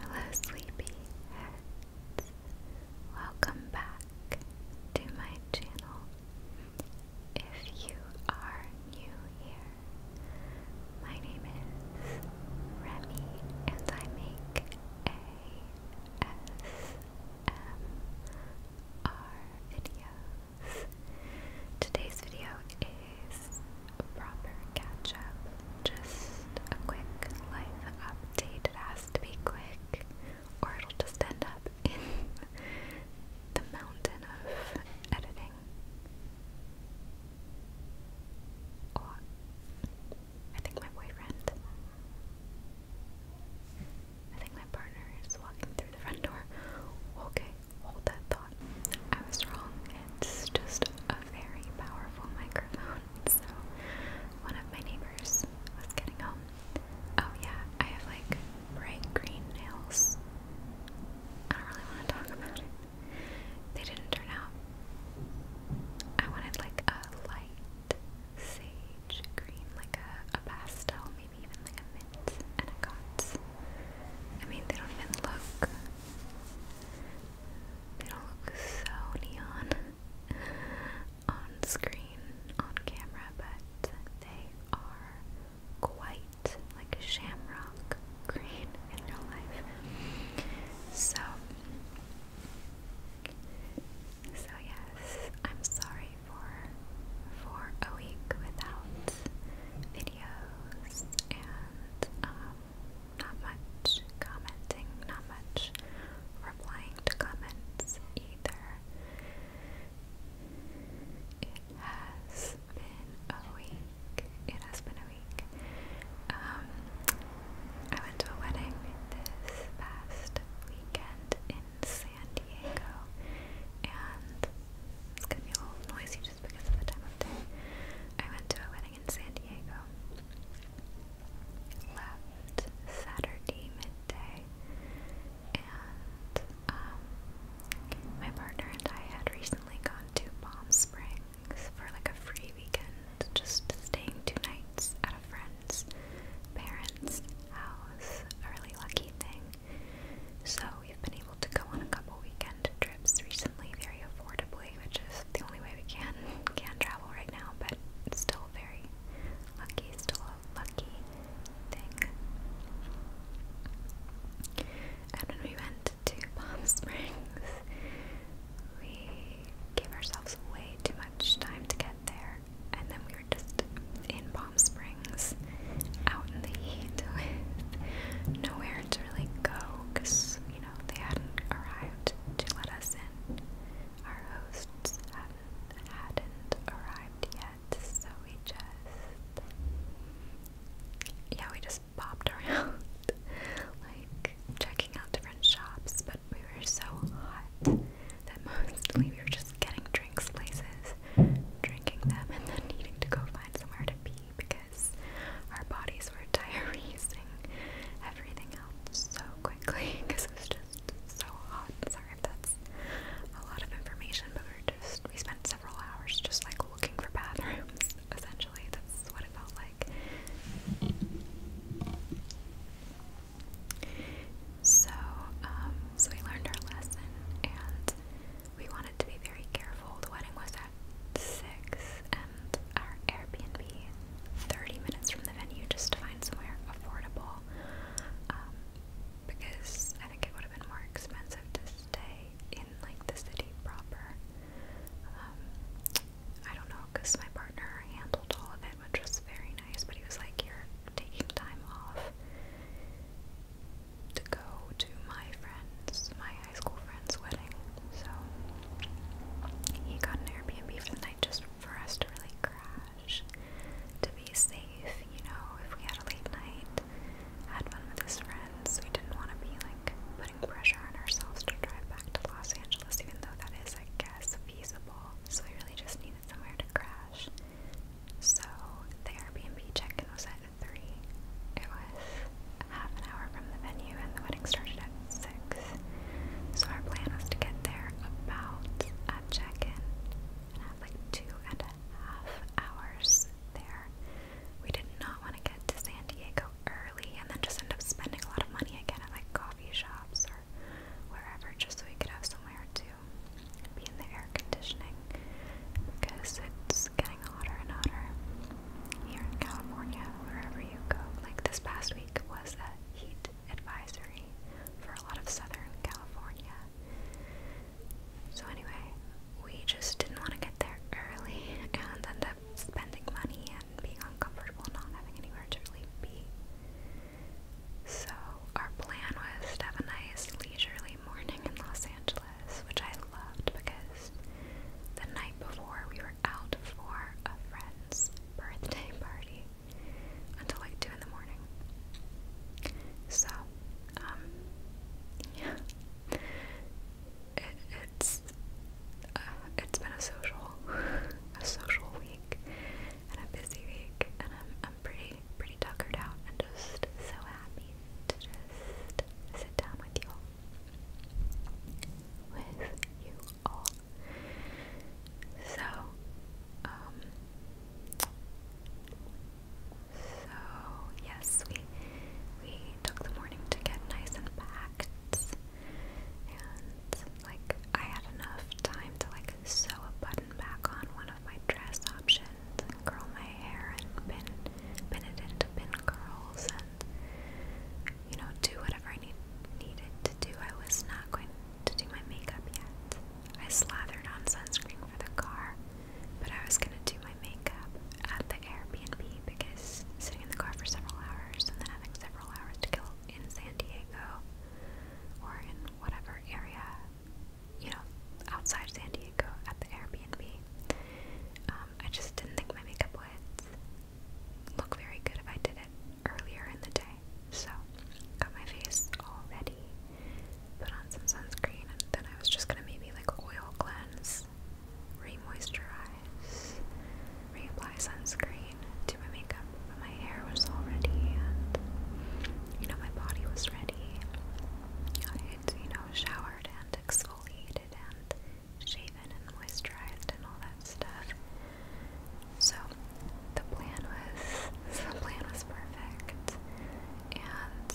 Hello, sleepy heads. Welcome back to my channel. If you are new here, my name is Remy, and I make ASMR videos. Today's video today's proper catch up. Just a quick life update. It has to be quick, or it'll just end up in the mountain of editing. I think my boyfriend. I think my partner is walking through the front door. Okay, hold that thought. I was wrong. It's just a very powerful microphone. So, one of my neighbors was getting home. Oh, yeah, I have like bright green nails. I don't really want to talk about it. They didn't turn out. I wanted like a light sage green, like a, a pastel, maybe even like a mint, and I got. I mean, they don't even look they don't look so neon on screen, on camera, but they are quite like shamrock green in real life. So, so yes, I'm sorry for for a week without videos and um not much commenting, not much replying to comments either. It has been a week. It has been a week. Um, I went to a wedding this past weekend in San Diego, and it's gonna be a little noisy just because of the time of day. I went to a wedding in San Diego. Left Saturday midday, and um, my partner and I had recently gone to Palm Springs for like a free weekend, just staying two nights at a friend's parents' house. A really lucky thing. So we've been able to go on a couple weekend recently very affordably, which is the only way we can can travel right now, but still very lucky, still a lucky thing. And when we went to Palm Springs, we gave ourselves way too much time to get there, and then we were just in Palm Springs, out in the heat with nowhere to really go because, you know, they hadn't arrived to let us in. Our hosts hadn't, arrived yet, so we just, yeah, we just bopped around, like checking out different shops, but we were so hot that mostly we were just getting drinks places, drinking them, and then needing to go find somewhere to pee because our bodies were diuresing everything else so quickly because it was just so hot. Sorry if that's a lot of information, but we were just we spent several hours just like looking for bathrooms. Essentially, that's what it felt like. So, um, so we learned our lesson, and we wanted to be very careful. The wedding was at six, and our Airbnb 30 minutes from the venue just to find somewhere affordable um, because I think it would have been more expensive to stay in like the city proper. Um, I don't know because my partner handled all of it, which was very nice, but he was like, You're taking time off to go to my friends, my high school friend's wedding, so he got an Airbnb for the night just for us to really crash, to be safe, you know, if we had a late night, had fun with his friends, we didn't want to be like putting pressure on ourselves to drive back to Los Angeles, even though that is, I guess, feasible, so we really just needed somewhere to crash. So the Airbnb check-in was at 3. It was half an hour from the venue, and the wedding started at 6. So our plan was to get there about at check in and have like two and a half hours there. We did not want to get to San Diego early and then just end up spending a lot of money again at like coffee shops or wherever just so we could have somewhere to be in the air conditioning because it's getting hotter and hotter here in California, wherever you go. Like this past week was a heat advisory for a lot of Southern California. So anyway, we just didn't want to get there early and end up spending money and being uncomfortable, not having anywhere to really be. So our plan was to have a nice leisurely morning in Los Angeles, which I loved because the night before, we were out for a friend's birthday party until like 2 in the morning. So, um, yeah. it's uh, it's been a social, a social week, and a busy week, and I'm I'm pretty pretty tuckered out, and just so happy to just sit down with you with you all. So, um, so yes, we we took the morning to get nice and packed, and like I had enough time to like sew a button back on one of my dress options curl my hair and pin pin it into pin curls and you know do whatever I need needed to do. I was not going to do my makeup yet. I slathered on sunscreen for the car, but I was going to do my makeup at the Airbnb because sitting in the car for several hours and then having several hours to kill in San Diego or in whatever area, you know, outside San Diego at the Airbnb, um, I just didn't think my makeup would look very good if I did it earlier in the day. So, got my face all ready, put on some sunscreen, and then I was just gonna maybe like oil cleanse, re-moisturize, reapply sunscreen, do my makeup, but my hair was all ready and you know, my body was ready. I had, you know, showered and exfoliated and shaven and moisturized and all that stuff. So the plan was the plan was perfect, and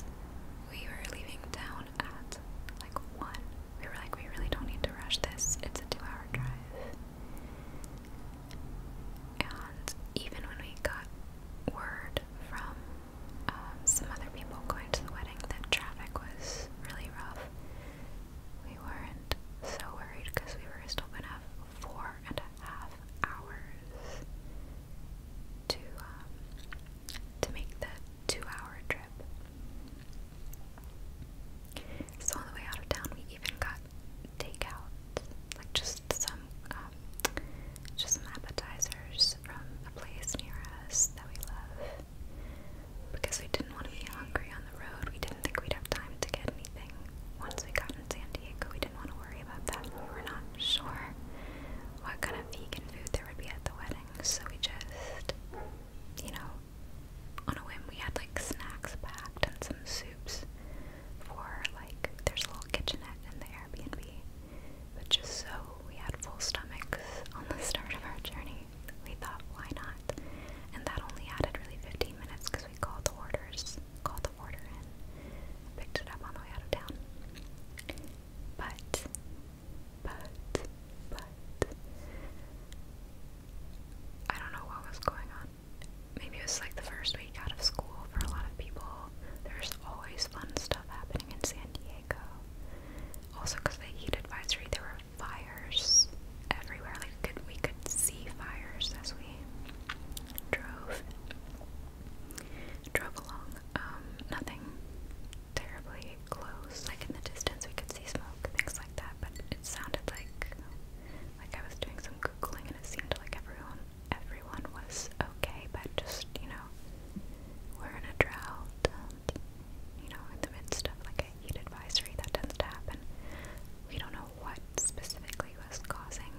we were leaving down at like one. We were like, we really don't need to rush this. It's a two-hour drive. And even when we got word from um, some other people going to the wedding that traffic was really rough, we weren't so worried because we were still gonna have four and a half hours to um, to make the two-hour trip. So on the way out of town, we even got takeout, like just some um, just some appetizers from a place near us that we love. Because we didn't want to be hungry on the road, we didn't think we'd have time to get anything. Once we got in San Diego, we didn't want to worry about that. We were not sure what kind of vegan food there would be at the wedding, so we just, you know, on a whim, we had like snacks packed and some soups for like, there's a little kitchenette in the Airbnb, but just so we had full stomachs on the start of our journey we thought, why not? And that only added really 15 minutes because we called the orders, called the order in, and picked it up on the way out of town. But, but, but, I don't know what was going on. Maybe it was like the first week out of school for a lot of people. There's always fun stuff happening in San Diego. Also, because the heat advisory, there were fires everywhere. Like we could, we could see fires as we drove drove along. Um, nothing terribly close. Like in the distance, we could see smoke, things like that. But it sounded like like I was doing some googling, and it seemed like everyone everyone was okay, but just you know, we're in a drought. And, you know, in the midst of like a heat advisory that tends to happen. We don't know what specifically was causing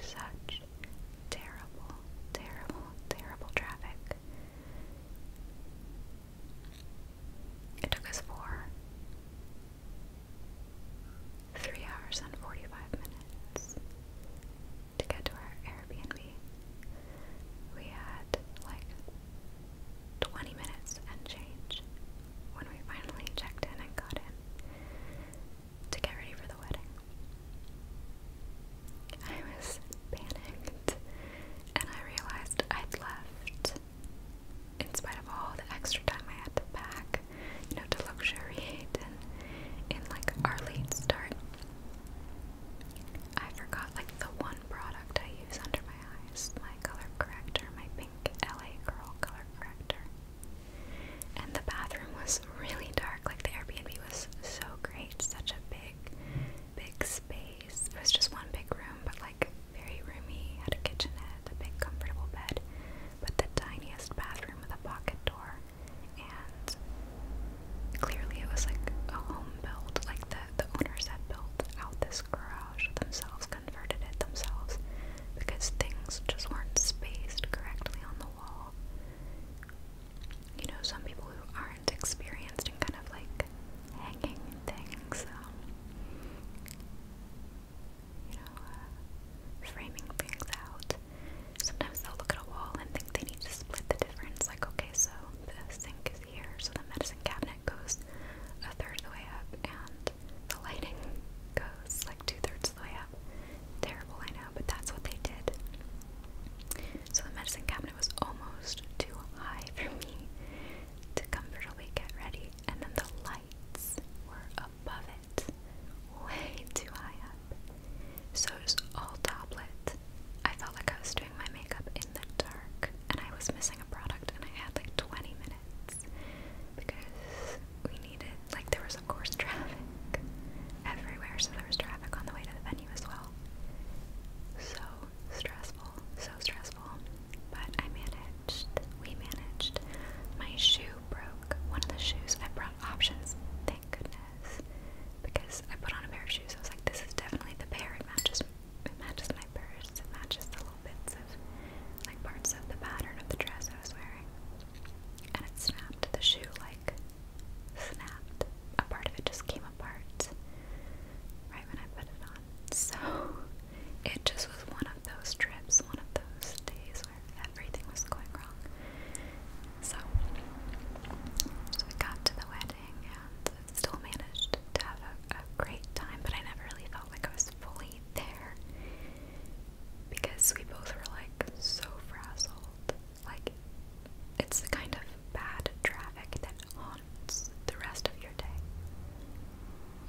such terrible, terrible, terrible traffic. It took us four. Three hours and 45 minutes to get to our Airbnb. We had like 20 minutes and change when we finally checked in and got in to get ready for the wedding. I was panicked and I realized I'd left, in spite of all the extra time I had to pack, you know, to luxuriate and in like our late start. I forgot like the one product I use under my eyes, LA color corrector, my pink LA Girl color corrector. And the bathroom was really dark. Like the Airbnb was so great, such a big, big space. It was just one big room, but like very roomy. Had a kitchenette, a big comfortable bed, but the tiniest bathroom with a pocket door. And clearly, it was like a home built. Like the the owners had built out this garage themselves converted it themselves because things just weren't spaced correctly on the wall. You know, some people who aren't experienced in kind of like hanging things, um, you know, uh, framing things out. Sometimes they'll look at a wall and think they need to split the difference. Like, okay, so the sink so the medicine cabinet goes a third of the way up, and the lighting goes like two thirds of the way up. Terrible, I but that's what they did. So the medicine cabinet was almost too high for me to comfortably get ready, and then the lights were above it, way too high up. So it was all tablet. I felt like I was doing my makeup in the dark, and I was missing product and I had like 20 minutes because we needed, like, there was of course traffic everywhere, so there was traffic on the way to the venue as well. So stressful, so stressful. But I managed, we managed. My shoe broke. One of the shoes, I brought options, thank goodness. Because I put on a pair of shoes, I was like, this is definitely the pair, it matches it matches my purse, it matches the little bits of, like parts of the pattern of the dress I was wearing. And it snapped, the shoe like snapped. A part of it just came apart right when I put it on. So it just was one of those trips, one of those days where everything was going wrong. So, so we got to the wedding and still managed to have a, great time, but I never really like I was fully there because we both were like so frazzled. Like, it's the kind of bad traffic that haunts the rest of your day.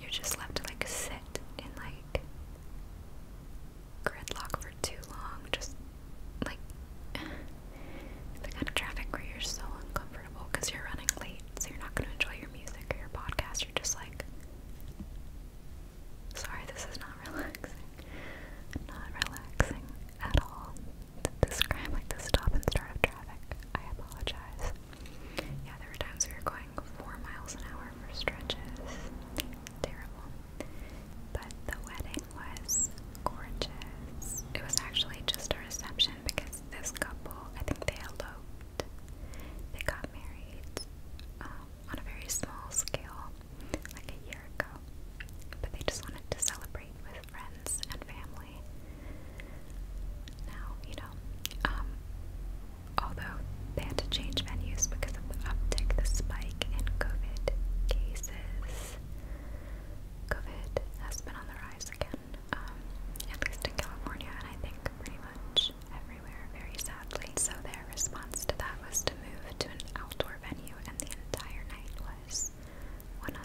You're just left to like sit in like gridlock for too long, just like the kind of traffic where you're so uncomfortable because you're running late, so you're not going to enjoy your music or your podcast. You're just like, sorry, this is not relaxing. Not relaxing at all. This like the stop and start of traffic. I apologize. Yeah, there were times we were going four miles an hour for stretches. Terrible. But the wedding was gorgeous. It was actually just a reception because this couple, I think they eloped they got married um, on a very small scale, like a year ago, but they just wanted to celebrate with friends and family. Now, you know, um, although they had to change venues because of the uptick, the spike in COVID cases. COVID has been on the rise again, um, at least in California, and I think pretty much everywhere, very sadly. So their response to that was to move to an outdoor venue, and the entire night was 100%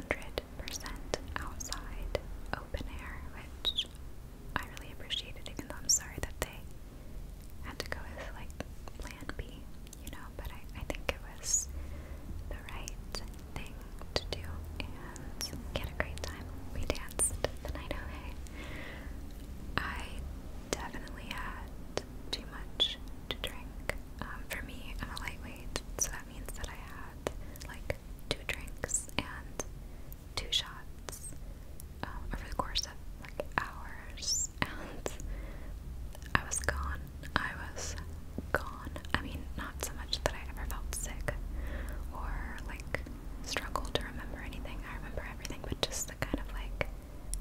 outside, open air, which I really appreciated, even though I'm sorry that they had to go with like plan B, you know, but I, I think it was the right thing to do, and friends. a great time. We danced the night away. I definitely had too much to drink. Um, for me, I'm a lightweight, so that means that I had like two drinks and two shots um, over the course of like hours, and I was gone. I was gone. I mean, not so much that I ever felt sick or like struggle to remember anything. I remember everything, but just the kind of like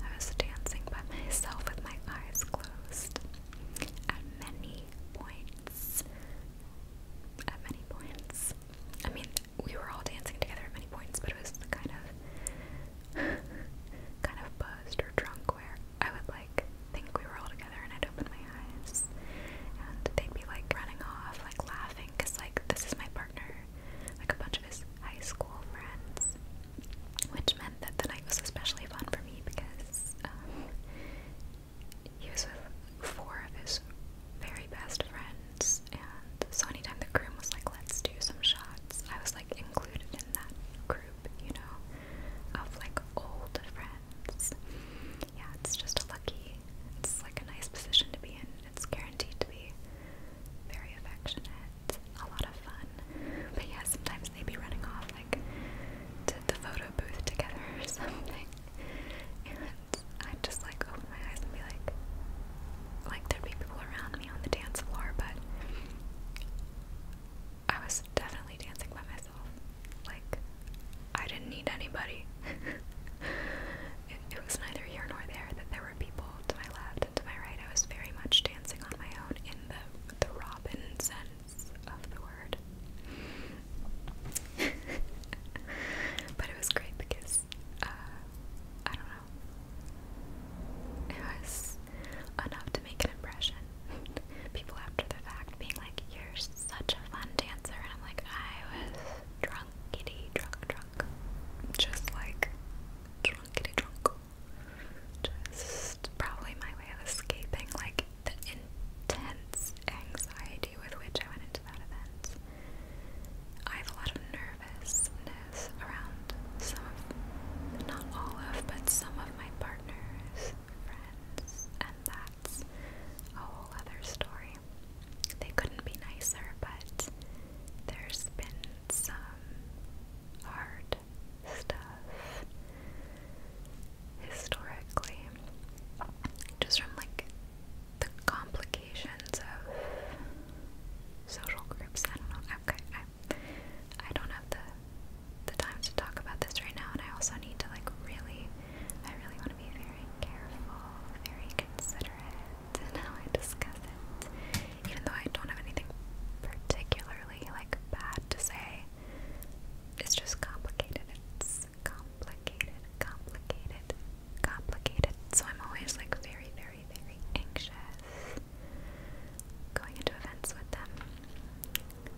I was dancing by myself with my eyes closed at many points. At many points. I mean, we were all dancing together at many points, but it was the kind of kind of buzzed or drunk where I would like think we were all together and I'd open my eyes and they'd be like running off like laughing because like this is my partner, like a bunch of his high school friends, which meant that the night was especially fun for me because um, he was with four of his very best friends, and so anytime the groom was like, "Let's do some shots," I was like included in that group, you know, of like old friends. Yeah, it's just a lucky it's like a nice position to be in. It's guaranteed to be very affectionate, a lot of fun. But yeah, sometimes they'd be running off like to the photo booth together or something. And I'd just like open my eyes and be like, like there'd be people around me on the dance floor, but I was definitely dancing by myself. Like, I didn't need anybody. it, was neither here nor there that there were people to my left and to my right. I was very much dancing on my own in the, the Robin sense of the word. but it was great because, uh, I don't know, it was enough to make an impression. People after the fact being like, you're such a fun dancer. And I'm like, I was drunk drunkity drunk drunk. Just like drunk drunkity drunk. Just probably my way of escaping like the intense anxiety with which I went into that event. I have a lot of nervousness around some of, not all of, but some of my partners, friends, and that's a whole other story. They couldn't be nicer, but there's been some hard stuff historically, just from like the complications of social groups. I don't know. Okay, I, I don't have the the time to talk about this right now, and I also need to like really I really want to be very careful, very considerate in how I discuss it. Even though I don't have anything particularly like bad to say, it's just complicated. It's complicated, complicated, complicated. So I'm always like very, very, very anxious going into events with them.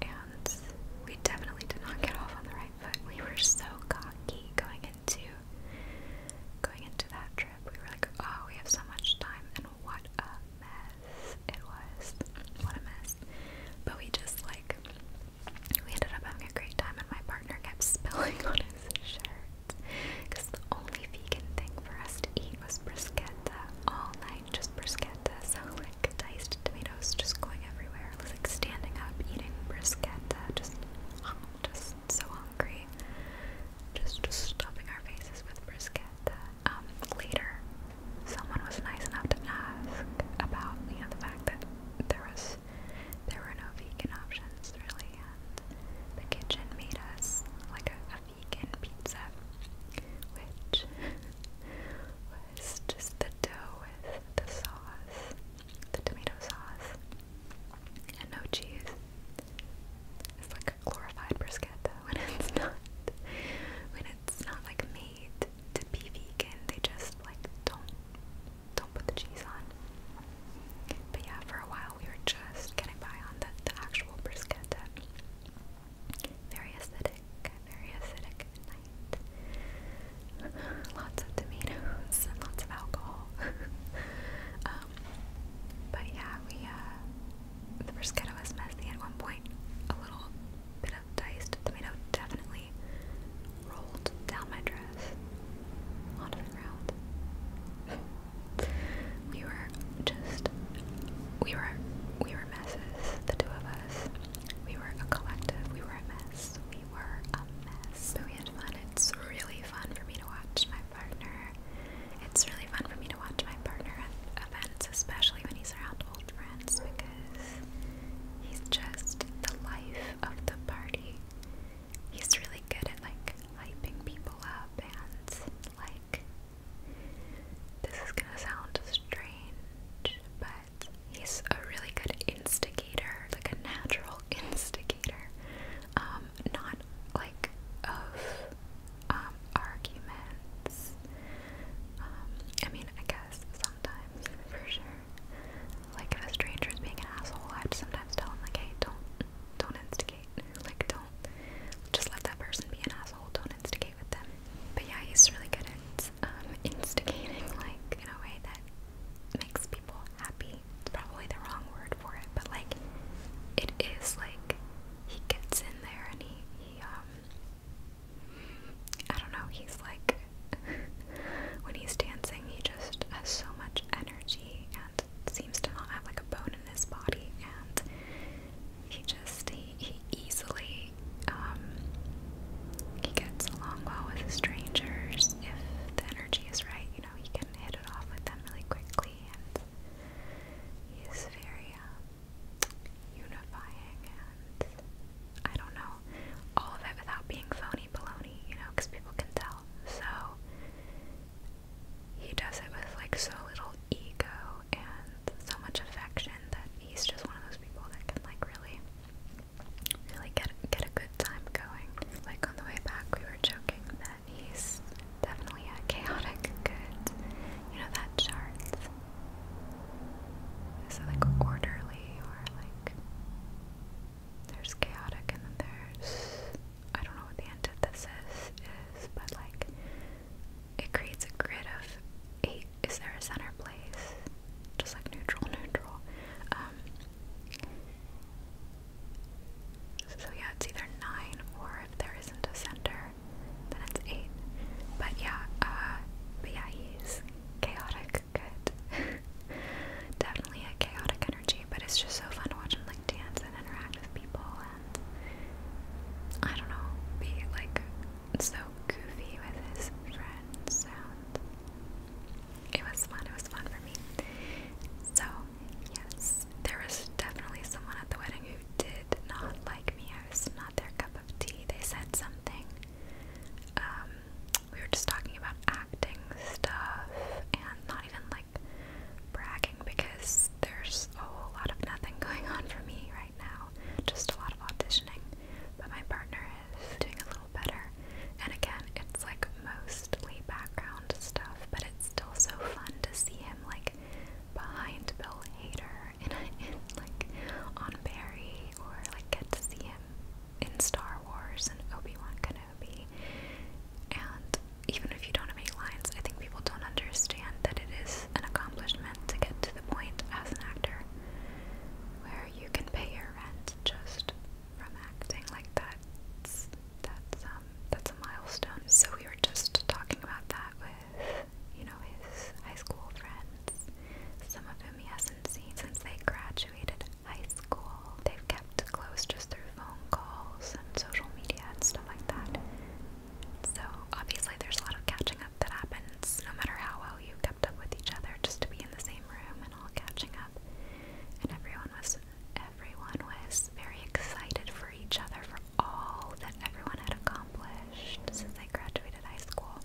And we definitely did not get off on the right foot. We were so cocky going in going into that trip, we were like, oh, we have so much time, and what a mess it was. What a mess. But we just like, we ended up having a great time, and my partner kept spilling on his shirt. Because the only vegan thing for us to eat was bruschetta all night, just bruschetta. So, like, diced tomatoes just going everywhere. like standing up, eating bruschetta, just just so hungry. Just just stuffing our faces with brisket. Um, later, someone was nice enough to ask about the fact that there was there were no vegan options really, and the kitchen made us like a vegan pizza, which was just the dough with the sauce the tomato sauce, and no cheese. It's like a glorified bruschetta when it's not. When it's not like made to be vegan, they just like don't don't put the cheese on. But yeah, for a while we were just getting by on the, actual bruschetta. Very acidic, very acidic night. lots of tomatoes and lots of alcohol. Um, but yeah, we uh, the bruschetta was messy at one point. A little bit of diced tomato definitely rolled down my dress onto the ground. we were just we were we were messes, the two of us. We were a collective. We were a mess. We were a mess. But we had fun it's really fun for me to watch my partner. It's really fun for me to watch my partner at events, especially when he's around old friends, because he's just the life of the party. He's really good at like hyping people up and like this is gonna sound strange, but he's a really good instigator instigator, like a natural instigator, um, not like of um, arguments. Um, I mean, I guess sometimes, for sure. Like if a stranger is being an asshole, I'd sometimes tell him like, don't, don't instigate. Like don't, just let that person be an asshole. Don't instigate with them. But yeah, he's really good at instigating, like in a way that makes people happy crazy. It's probably the wrong word for it, but like it is like he gets in there and he he um I don't know, he's like when he's dancing he just has so much energy and seems to not have like a bone in his body and he just he, he easily um he gets along well with strangers if the energy is right, you know, he can hit it off with them really quickly, and he is very uh, unifying. And I don't know all of it without being phony baloney, you know, because people can tell. So he does it with like so little ego and so much affection that he's just one of those people that can like really really get get a good time going. Like on the way back, we were joking that he's definitely a chaotic good. You know that chart. Is it like orderly or like there's chaotic and then there's I don't know what the antithesis is, but like it creates a grid of eight. Is there a center place? Just like neutral, neutral. Um, so yeah, it's either nine or if there isn't a center, then it's eight. But yeah, uh, but yeah, he's chaotic good. Definitely a chaotic energy, but it's just so fun to watch him like dance and interact with people and I don't know, be like so goofy with his friends it was fun. It was fun for me. So, yes, there was definitely someone at the wedding who did not like me. I was not their cup of tea. They said something. Um, we were just talking about acting stuff and not even like bragging because there's a whole lot of nothing going on for me right now. Just a lot of auditioning. But my partner is doing a little better. And again, it's like mostly background stuff, but it's still so fun to see him like behind Bill Hader in, a, in like on Barry, or like get to see him in Star Wars and Obi Wan Kenobi. And even if you don't have any lines, I think people don't understand that it is an accomplishment to get to the point as an actor where you can pay your rent just from acting like that that's that's um that's a milestone. So we were just talking about that with you know his high school friends, some of whom he hasn't seen since they graduated high school. They've kept close just through phone calls and social media and stuff like that. So obviously there's a lot of catching up that happens no matter how well you kept up with each other just to be in the same room and all catching up. And everyone was everyone was very excited for each other for all that everyone had accomplished since I graduated high school.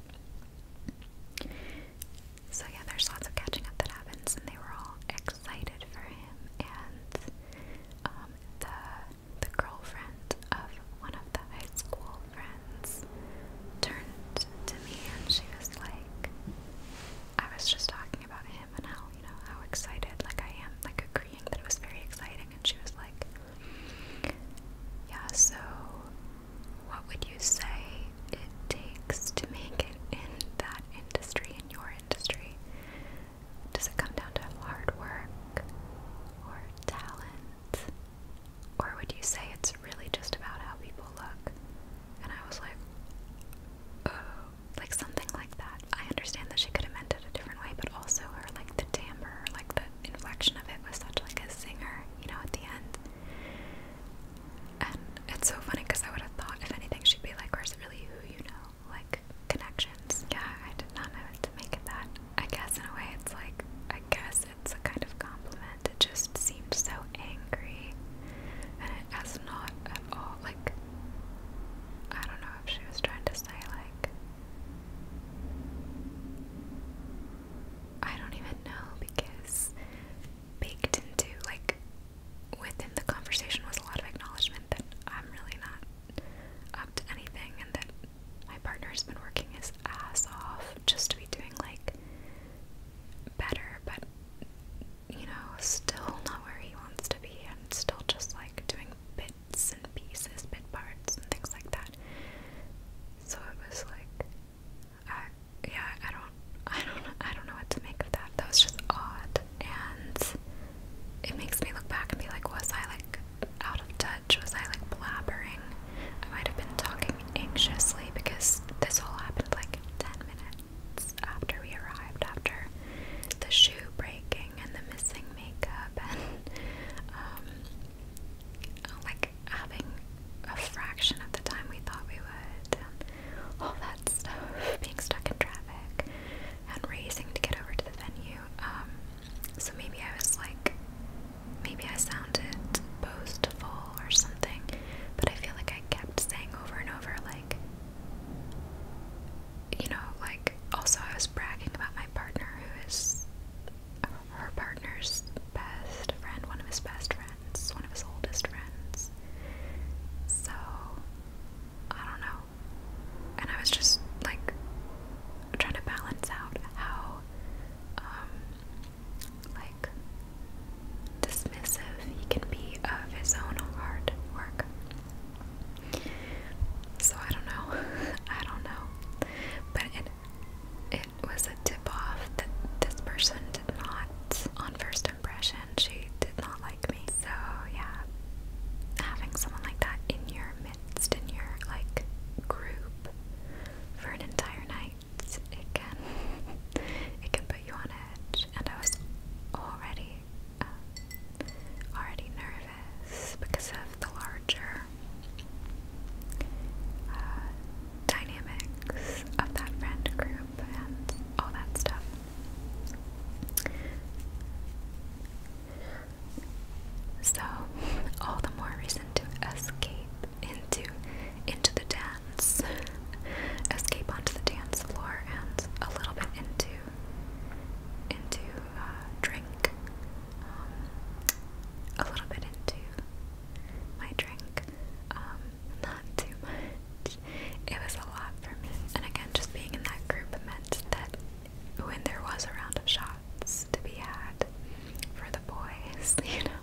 So, yeah, there's lots of catching up that happens, and they were all excited for him. And um, the, the girlfriend of one of the high school friends turned to me and she was like, I was just talking talking about him and how, you know, how excited like I am, like agreeing that it was very exciting and she was like Yeah, so what would you say it takes to make it in that industry, in your industry? Does it come down to hard work or talent? Or would you say it's really just about how people look? And I was like, oh, like something like that. I understand that she could have meant it a different way, but also her like the timbre, like the inflection of it was such like a singer, you know, at the end. And it's so funny because I would have thought if anything she'd be like, or is it really who you know, like connections? Yeah, I did not know it to make it that. I guess in a way it's like I guess it's a kind of compliment. It just seemed so angry, and it has not at all, like, I don't know if she was trying to say, like, I don't even know because baked into, like, within the conversation was a lot of acknowledgement that I'm really not up to anything and that my partner's been working his ass off just to be doing, like, better, but you know, still not where he wants to be and still just like doing bits and pieces, bit parts and things like that. So it was like yeah, I don't I don't I don't know what to make of that. That was just odd and it makes me look back and be like, was I like out of touch? Was I like blabbering? I might have been talking anxiously because this all happened like 10 minutes after we arrived, after the shoe breaking and the missing makeup, and um, like having a fraction of the time we thought we would, and all that stuff, being stuck in traffic and raising to get over to the venue. Um, so maybe I was like, maybe I sounded boastful or something, but I feel like I kept saying over and over, like, you know, like, also, I was bragging about my partner who is her partner's best friend, one of his best friends, one of his oldest friends. So, I don't know. And I was just like trying to balance out how, um, like, dismissive he can be of his own hard work. So I don't know. I don't know. But it it was a tip off that this person did not on first impression she did not like me. So yeah. Having someone like that in your midst, in your like group for an entire night, it can it can put you on edge. And I was already um, already nervous because of the larger uh, dynamics of that friend group and all that stuff. So, all the more reason to escape into into the dance escape onto the dance floor and a little bit into into uh, drink, um, a little bit into my drink, um, not too much. It was a lot for me, and again, just being in that group meant that when there was a round of shots to be had for the boys, you know,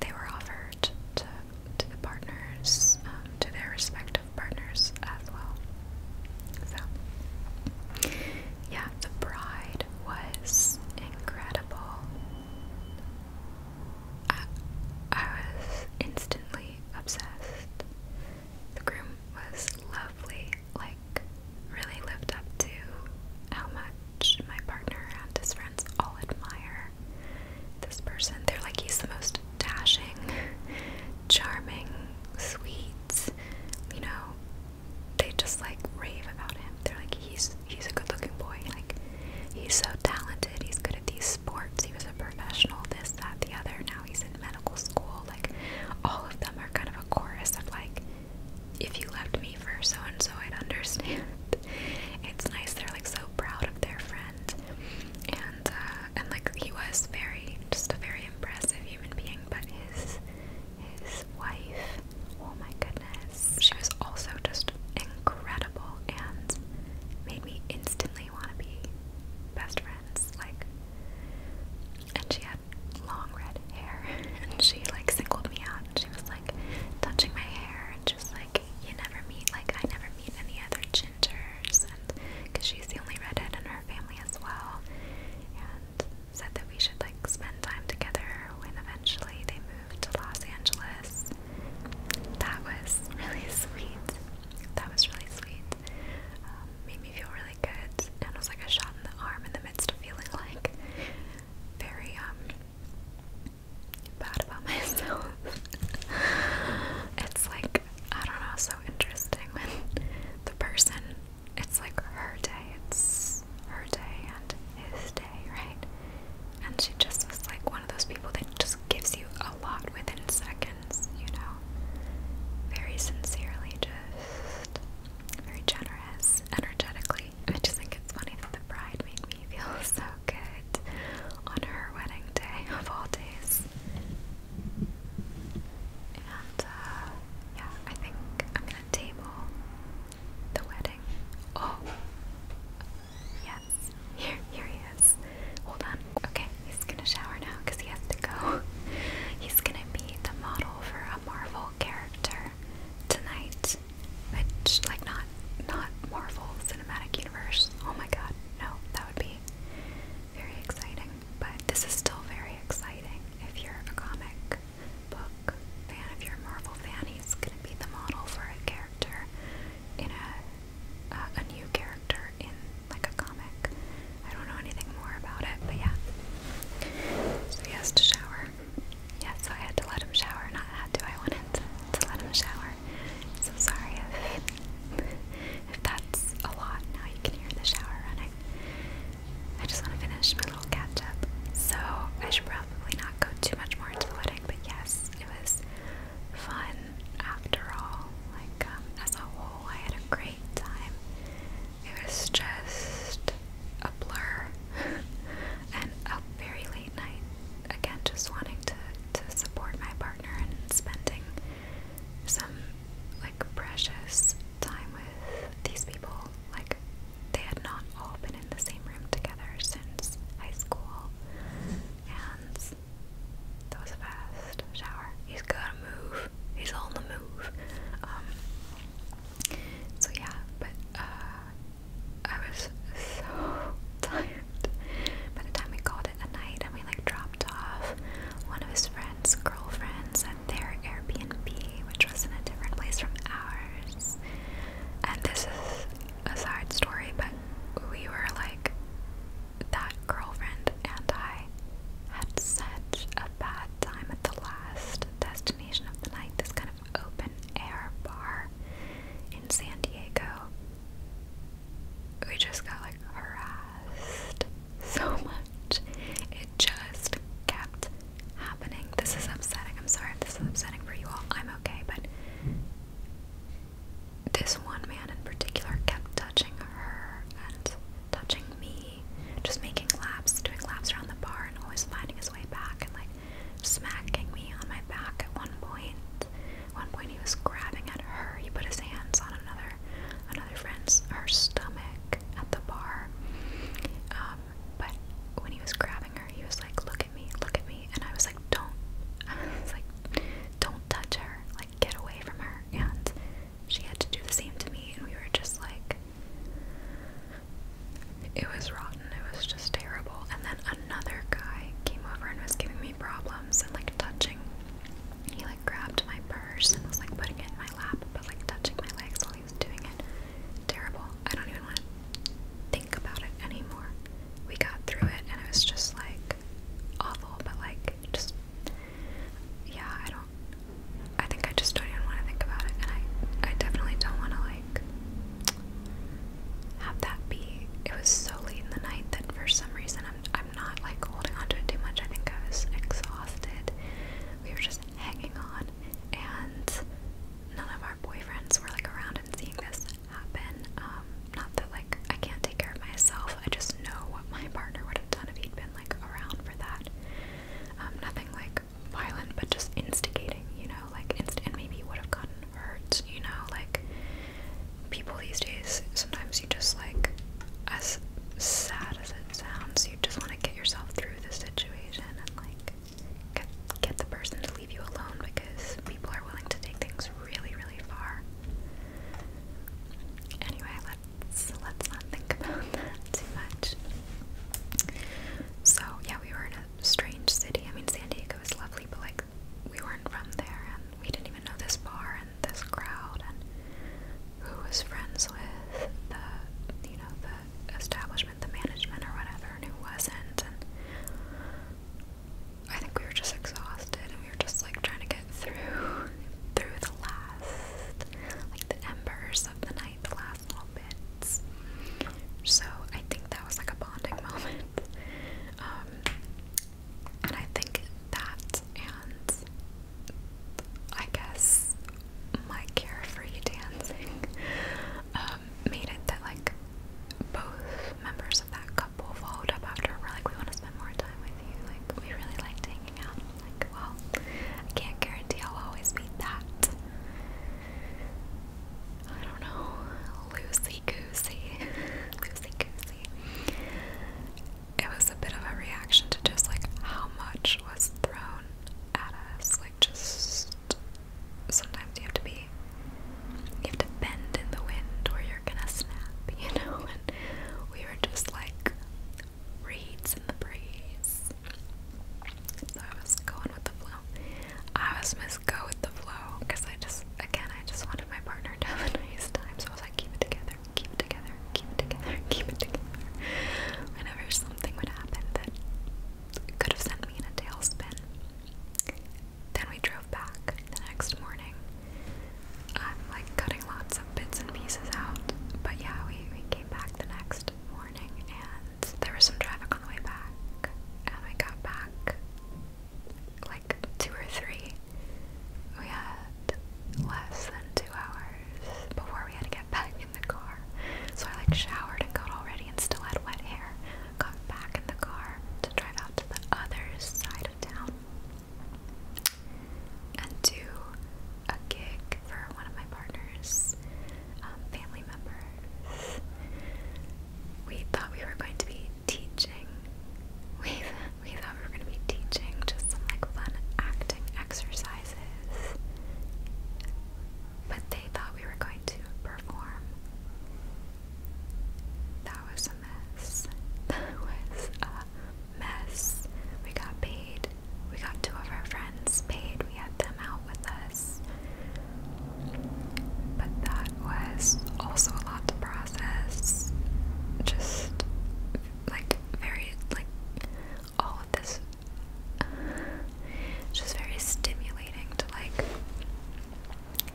they were offered to to the partners, um, to their respective partners as well. So, yeah, the bride was incredible. I, I was instantly obsessed. The groom was lovely, like, really lived up to how much my partner and his friends all admire this person. They're like, he's the most dashing, charming, sweet, you know. They just like rave about him. They're like, he's he's a good looking boy. Like, he's so talented. He's good at these sports. He was a professional, this, that, the other. Now he's in medical school. Like, all of them are kind of a chorus of like, if you left me for so and so, I'd understand. It's nice. They're like so proud of their friend friend, and uh, and like he was very just a very impressive human being. But his his wife, oh my goodness, she was also just incredible and made me instantly want to be best friends. Like, and she had long red hair, and she like singled me out, and she was like touching my hair and just like like you never meet like I never meet any other gingers and because she's the only redhead in her family as well and said that we should like spend time together when eventually they moved to Los Angeles. That was really sweet. That was really sweet. Um, made me feel really good and was like a shot in the arm in the midst of feeling like very um bad about myself. it's like like, I don't know, so interesting when the person, it's like her day, it's her day and his day, right? And she just was like one of those people that just gives you a lot within seconds, you know? Very sincerely, just very generous, energetically. I just think it's funny that the bride made me feel so good on her wedding day of all days. And uh, yeah, I think I'm gonna table the wedding. Oh, yes, here, here he is. Hold on. Okay, he's gonna shower now because he has to go. He's gonna be the model for a Marvel character tonight, which like not not Marvel Cinematic Universe. Oh my God, no, that would be very exciting. But this is still very exciting if you're a comic book fan, if you're a Marvel fan, he's going to be the model for a character in a, a new character in like a comic. I don't know anything more about it, but yeah. So he has to shower. Yeah, so I had to let him shower. Not had I wanted to, to let him shower. So sorry if if that's a lot, now you can hear the shower running. I just want to finish my little catch up. So I should probably not go too much more into the wedding, but yes, it was fun after all. Like, um, as a whole, I had a great time. It was just a blur and a very late night. Again, just wanting to, to support my partner and spending some like precious time with these people. Like they had not all been in the same room together since high school. And that was a fast shower. He's gotta move. He's on the move. Um so yeah, but uh I was so tired by the time we got out night and we like dropped off one of his friends' girlfriends at their Airbnb, which was in a different place from ours. And this is a side story, but we were like, that girlfriend and I had such a bad time at the last destination of the night, this kind of open air bar in San Diego we just got like harassed so much. It just kept happening. This is upsetting. I'm sorry this is upsetting for you all. I'm okay, but this one man in particular kept touching her and touching me, just making laps, doing laps around the bar, and always finding his way back and like smacking me on my back at one point. At one point, he was grabbing at her. He put his hands on another another friend's her stomach at the bar. Um, but when he was grabbing her, he was like, "Look at me, look at me," and I was like, "Don't!" like, "Don't touch her! Like, get away from her!" And she had to do the same to me, and we were just like, it was rotten. It was just terrible. And then another guy came over and was giving me problems and like touching he like grabbed my purse and was like putting it in my lap but like touching my legs while he was doing it. Terrible. I don't even want to think about it anymore. We got through it and it was just like awful but like just yeah, I don't I think I just don't even want to think about it and I I definitely don't want to like have that be it was so late in the night that for some reason I'm I'm i not like holding on it too much. I think I was exhausted. We were just hanging on, and none of our boyfriends were like around and seeing this happen. Um, not that like I can't take care of myself. I just know what my partner would have done if he'd been like around for that. Um, nothing like violent, but just instigating. You know, like inst and maybe would have gotten hurt. You know, like people these days, sometimes you just like, as sad as it sounds, you just want to get yourself through the situation and like get, get the person to leave you alone because people are willing to take things really, really far. Anyway, let's let's not think about that too much. So yeah, we were in a strange city. I mean, San Diego is lovely, but like we weren't from there, and we didn't even know this bar and this crowd and who was friends with the you know the establishment, the management or whatever, and who wasn't. And I think we were just exhausted and we were just like trying to get through through the last like the embers of the night, the last little bits. So I think that was like a bonding moment. Um, and I think that and I guess my carefree dancing um, made it that like both members of that couple followed up after we're like we want to spend more time with you like we really liked hanging out like well I can't guarantee I'll always be that I don't know loosey goosey loosey goosey it was a bit of a reaction to just like how much was thrown at us. Like, just sometimes you have to be, you have to bend in the wind or you're gonna snap, you know? And we were just like reeds in the breeze. So I was going with the flow. I was Miss Go with the flow because I just, again, I just want my partner to have a time, so I was like, keep it together, keep it together, keep it together, keep it together. Whenever something would happen that could have sent me in a tailspin. Then we drove back the next morning. I'm like cutting lots of bits and pieces out. But yeah, we, we came back the next morning and there was some traffic on the way back. And we got back like two or three. We had less than two hours before we had to get back in the car. So I like showered and got all ready and still had wet hair. Got back in the car to drive out to the other side of town and do a gig for one of my partner's um, family members. We thought we were going to be teaching. We've we thought we were going to be teaching just some like fun acting exercises, but they thought we were going to perform. That was a mess. That was a mess. We got paid. We got two of our friends paid. We had them out with us. But that was also a lot to process. Just like very like all of this just very stimulating to like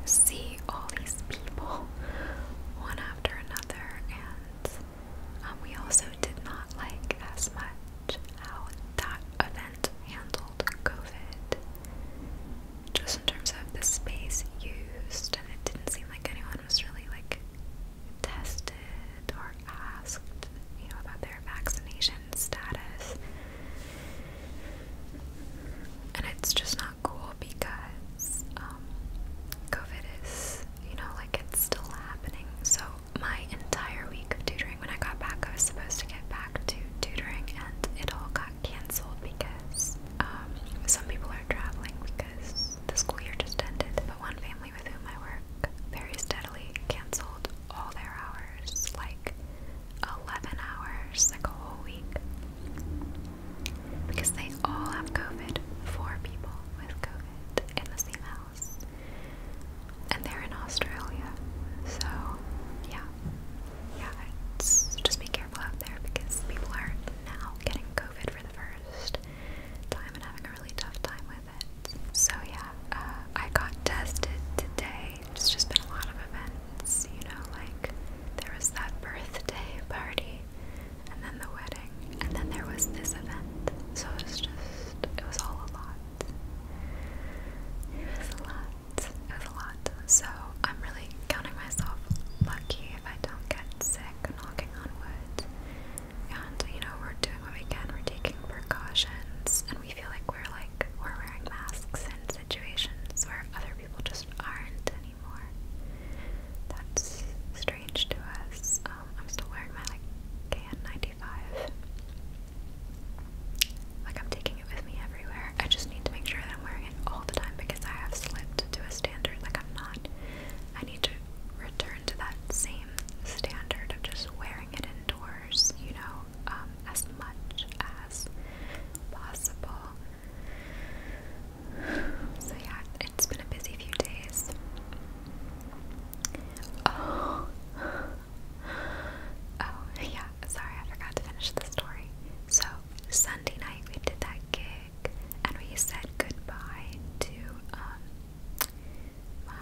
see all these people one after another and um, we also did not like as much how that event handled COVID just in terms of the space used and it didn't seem like anyone one was really like tested or asked, you know, about their vaccination status. And it's just not cool because um, COVID is, you know, like it's still happening. So, my entire week of tutoring, when I got back, I was supposed to get back to tutoring and it all got canceled because um, some people traveling because the school year just ended, but one family with whom I work very steadily canceled all their hours, like 11 hours, like a whole week, because they all have COVID, four people with COVID in the same house, and they're in Australia, so yeah, yeah, it's, just be careful out there because people are now getting COVID for the first time and having a really tough time with it. So yeah, uh, I got tested today. It's just been a lot of events, you know, like there was that birthday party and then the wedding and then there was this event. So it was just, it was all a lot. It was a lot. It was a lot. So I'm really counting myself lucky if I don't get sick, knocking on wood. And you know, we're doing what we can, we're taking precautions, and we feel like we're like we're wearing masks in situations where other people just aren't anymore. That's strange to us. Um, I'm still wearing my like KN95. Like I'm taking it with me everywhere. I just need to make sure that I'm wearing it all the time because I have slipped to a standard. Like I'm not. I need to return to that same standard of just wearing it indoors, you know, um, as much as possible. So, yeah, it's been a busy few days. Oh, oh, yeah, sorry, I forgot to finish the story. So, Sunday night we did that gig and we said goodbye to um, my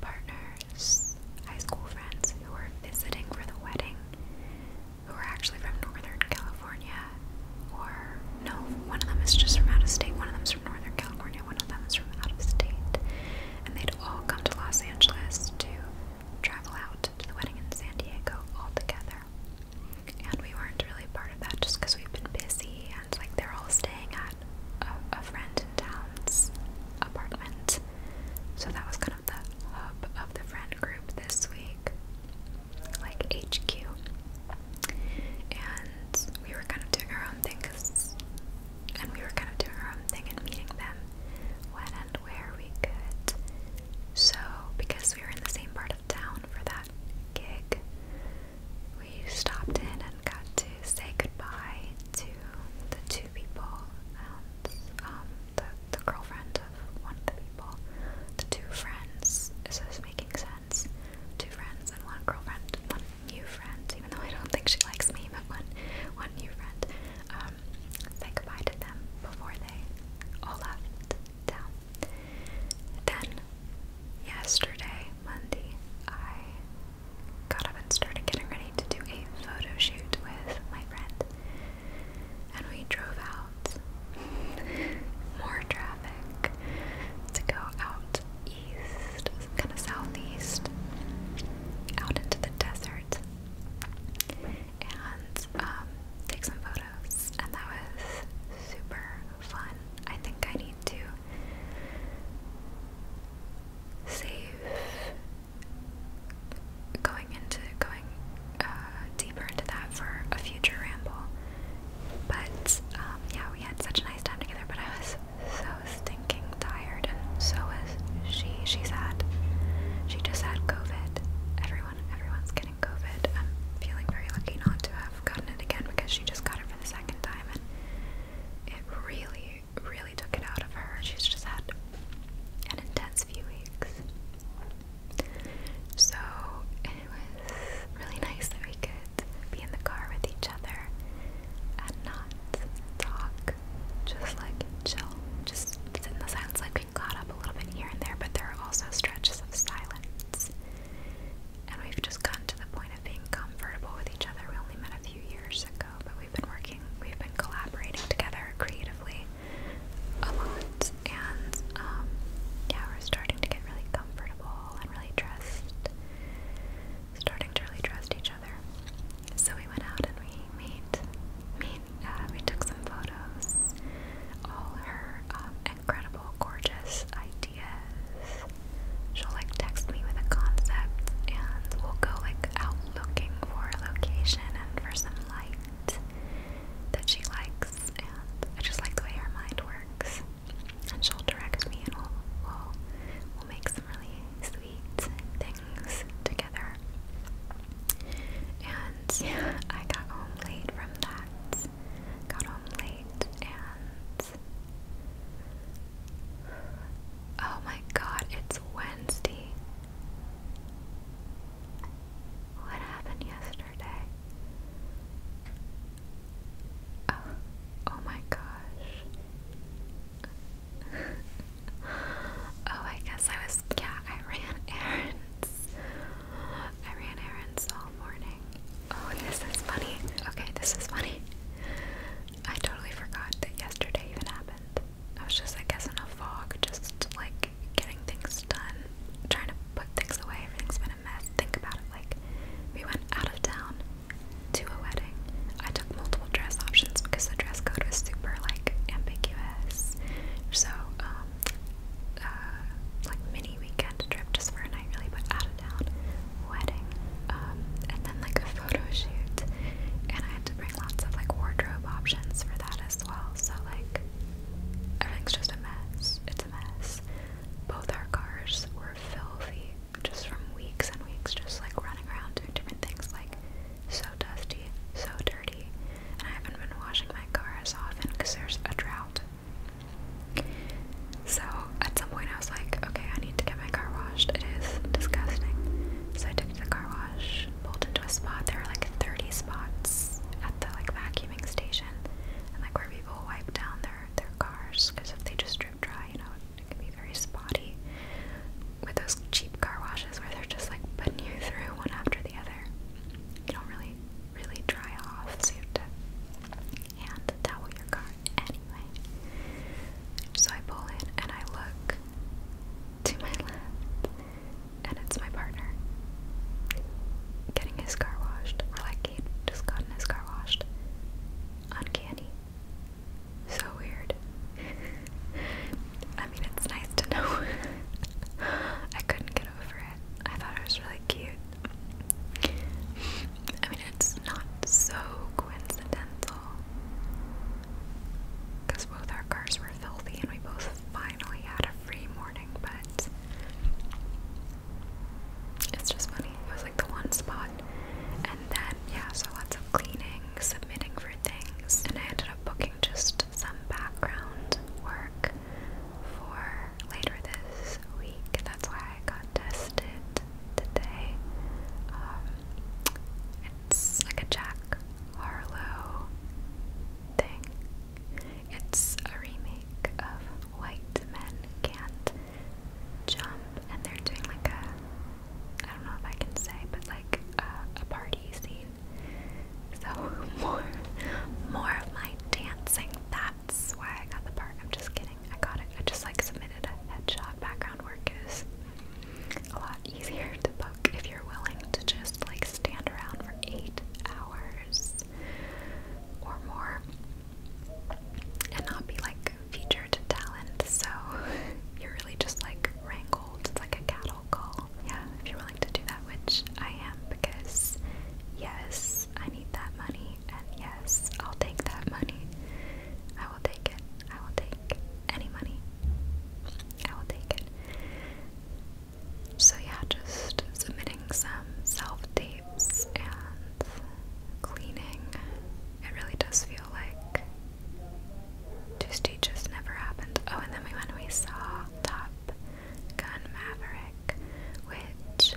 partner's high school friends who were visiting for the wedding, who are actually from Northern California, or no, one of them is just from out of state, one of them is from Northern California, one of them is from out of state, and they'd all come to Los Angeles to travel out to the wedding in San Diego all together. And we weren't really part of that just because we've been busy friends, like they're all staying at a, a friend in town's apartment. So that was kind of the hub of the friend group this week, like HQ. And we were kind of doing our own thing, cause, and we were kind of doing our own thing and meeting them when and where we could. So, because we were in the same part of town for that gig, we stopped in and got to say goodbye to the two people and um, the, the girlfriend of one of the people. The two friends, is this making sense? Two friends and one girlfriend, one new friend, even though I don't think she likes me, but one, one new friend. Um, say goodbye to them before they all left down. Then, yesterday, Monday, I got up and started getting ready to do a photo shoot with my friend. And we drove out. More traffic to go out east, kind of southeast, out into the desert, and um, take some photos. And that was super fun. I think I need to save going into going uh, deeper into that for a future ramble. But um, yeah, we had such a nice time together. But I was so stinking tired, and so was she. She's had she just had COVID. Everyone everyone's getting COVID. I'm feeling very lucky not to have gotten it again because she just got it the second time, and it really, really took it out of her. She's just had an intense few weeks. So it was really nice that we could be in the car with each other and not talk, just like chill, just in the silence. Like we got up a little bit here and there, but there are also stretches of silence and we've just gotten to the point of being comfortable with each other. We only met a few years ago, but we've been working, we've been collaborating together creatively a lot, and um, yeah, we're starting to get really comfortable and really trust, starting to really trust each other. So we went out and we made, made uh, we took some photos. All her um, incredible, gorgeous ideas. She'll like text me with a concept and we'll go like out looking for a location and for some light that she likes and I just like the way her mind works. And she'll direct me and we'll we'll, make some really sweet things together. And I got home late from that got home late and oh my god, it's Wednesday. What happened yesterday? Oh, oh my gosh. oh, I guess I was, yeah, I ran errands. I ran errands all morning. Oh, this is funny. Okay, this is funny. I totally forgot that yesterday even happened. I was just, I guess, in a fog, just like getting things done, trying to put things away. Everything's been a mess. Think about it. Like, we went out of town to a wedding. I took multiple dress options because the dress code was super, like, ambiguous. So, um, uh, like, mini weekend trip just for a night, really, but out wedding, um, and then like a photo And I had to bring lots of like wardrobe options for that as well. So like everything's just a mess. It's a mess. Both our cars were filthy just from weeks and weeks, just like running around doing different things, like so dusty, so dirty. And I haven't been washing my car as often because there's a drought so at some point I was like, okay, I need to get my car washed. It is disgusting. So I took to the car wash, pulled into a spot. There are like 30 spots at the like vacuuming station and like where people wipe down their, their cars because if they just drip dry, you know, it can be very spotty with those cheap car washes where they're just like putting you through one after the other. You don't really, really dry off, so you have to and towel your car anyway. So I pull in and I look to my left, and it's my partner getting his car washed, or like he'd just gotten his car washed. Uncanny. So weird. I mean, it's nice to know. I couldn't get over it. I thought it was really cute I mean, it's not so coincidental because both our cars were filthy and we both finally had a free morning, but it's just funny. It was like the one spot, and then, yeah, so lots of cleaning, submitting for things, and I ended up booking just some background work for later this week. That's why I got tested today. Um, it's like a Jack Harlow thing. It's a remake of White Men Can't Jump, and they're doing like a, I don't know if I can say, but like a, a party scene. So more, more of my dancing. That that's why I got the part. I'm just kidding. I got it. I just like submitted a headshot. Background work is a lot easier to book if you're willing to just like stand around for eight hours or more and not be like featured talent. So you're really just like wrangled. It's like a cattle call. Yeah, if you're willing to do that, which I am because yes, I need that money and yes, I'll take that money. I will take it. I will take any money. I will take it. So, yeah, just submitting some self tapes and cleaning. It really does feel like Tuesday just never happened. Oh, and then we went we saw Top Gun Maverick, which,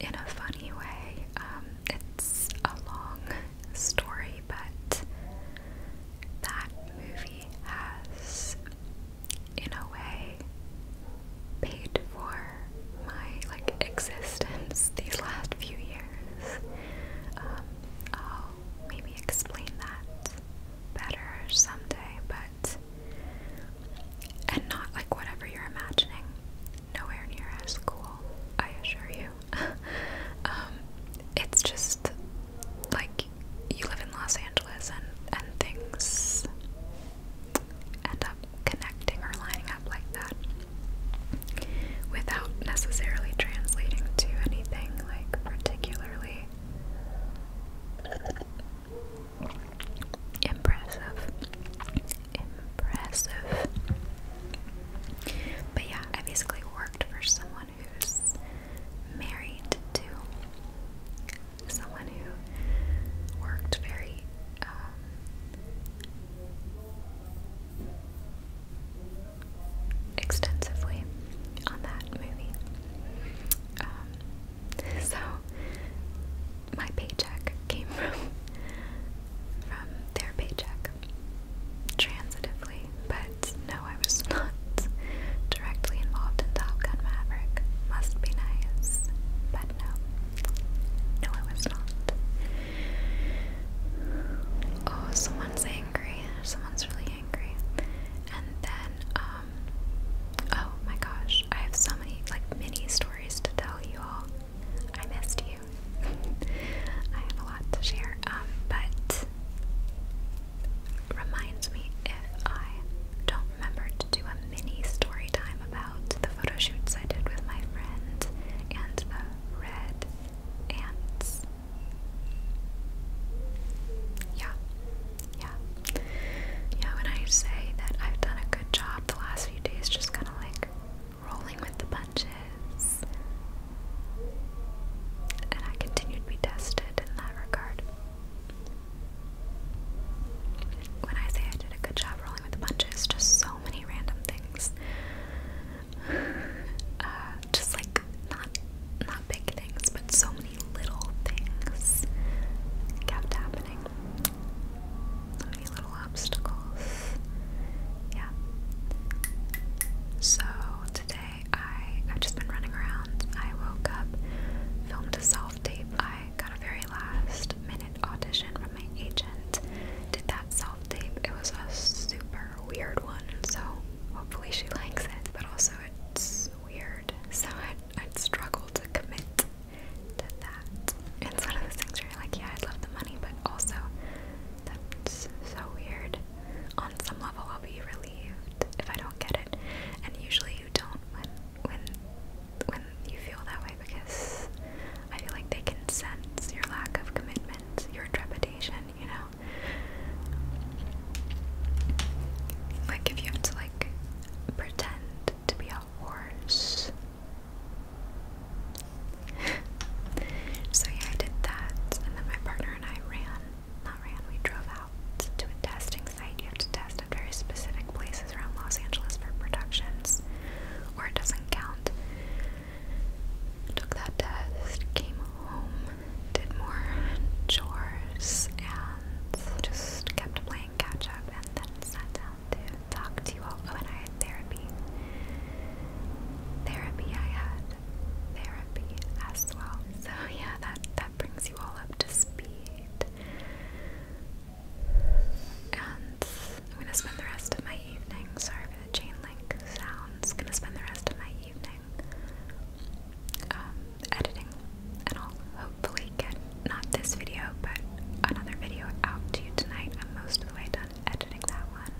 in a funny way, um, it's a long story, but that movie has, in a way, paid for my like existence these last few years. Um, I'll maybe explain that better someday, but and not like whatever you're imagining nowhere near as cool, I assure you. Um, it's just like you live in Los Angeles and, and things end up connecting or lining up like that without necessarily translating to anything like particularly impressive impressive. But yeah, I basically worked for someone who's married to someone who worked very um, extensively on that movie. Um, so my paycheck came from from their paycheck transitively, but no, I was not directly involved in Top Gun Maverick. Must be nice, but no, no, I was not. Oh, someone's angry. Someone's really angry. And then, um, oh my gosh, I have so many like mini stories to tell you all. I missed you. I have a lot to share, um, but reminds me if I don't remember to do a mini story time about the photo shoots I did with my friend and the red ants. Yeah, yeah, yeah. When I say that I've done a good job the last few days, just kind of like rolling with the punches. And I continue to be tested in that regard. When I say I did a good job rolling with the punches, just so many random things. Uh, just like not not big things, but so many little things kept happening. Any little obstacles. Yeah. So today I i just been running around. I woke up, filmed a self-tape. I got a very last minute audition from my agent. Did that self-tape. It was a super weird one, so hopefully she likes it, but also it's weird. So I i I'd struggle to commit did that. It's one of those things where you're like, yeah, I'd love the money, but also that's so weird. On some level, I'll be relieved if I don't get it, and usually you don't when when when you feel that way because I feel like they can sense your lack of commitment, your trepidation, you know. Like if you have to like pretend to be horse. so yeah, I did that, and then my partner and I ran. Not ran, we drove out to a testing site. You have to test at very specific places around Los Angeles for productions, or it doesn't count. Took that test, came home, did more chores, and just kept playing catch up, and then sat down talk to you all. Oh, and I had therapy. Therapy, I had therapy as well. So yeah, that that brings you all up to speed. And I'm gonna spend the rest of my evening. Sorry for the chain link sounds. Gonna spend the rest of my evening um, editing, and I'll hopefully get not this video, but another video out to you tonight. I'm most of the way done editing that one.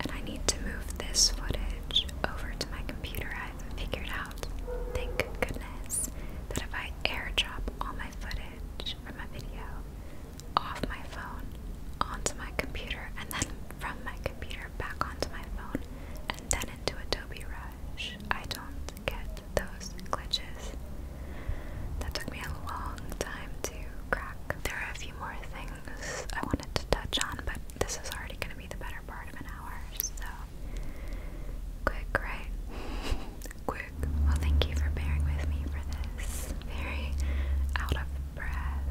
And I need to move this footage over to my computer. I've figured out, thank goodness, that if I air drop all my footage from my video off my phone onto my computer and then from my computer back onto my phone and then into Adobe Rush, I don't get those glitches. That took me a long time to crack. There are a few more things I wanted to touch on, but this is already going to be the better part of an hour, so quick, right? quick. Well, thank you for bearing with me for this very out of breath,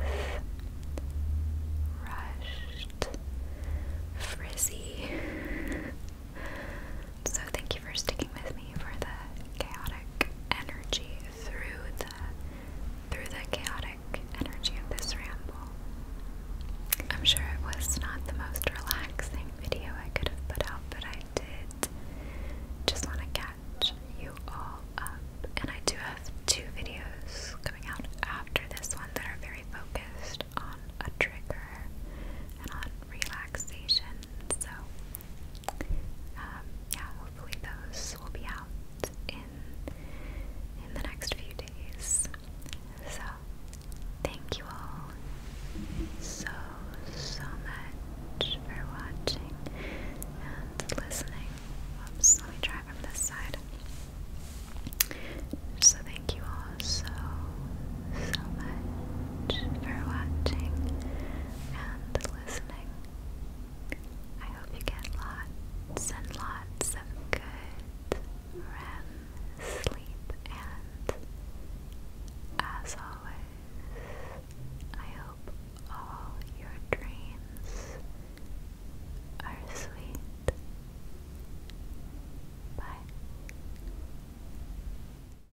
rushed, frizzy. So, thank you for sticking with for the chaotic energy through the through the chaotic energy of this ramble. I'm sure it was not the most relaxing video I could have put out, but I did just want to catch you all up. And I do have two videos coming out after this one that are very focused on a trigger and on relaxation. So um, yeah, hopefully those will be out in in the next few days. So thank you all so so much for watching and listening. Oops, let me try from this side. So thank you all so so much for watching and listening. I hope you get lots and lots of good REM sleep, and as always, I hope all your dreams are sweet. Bye.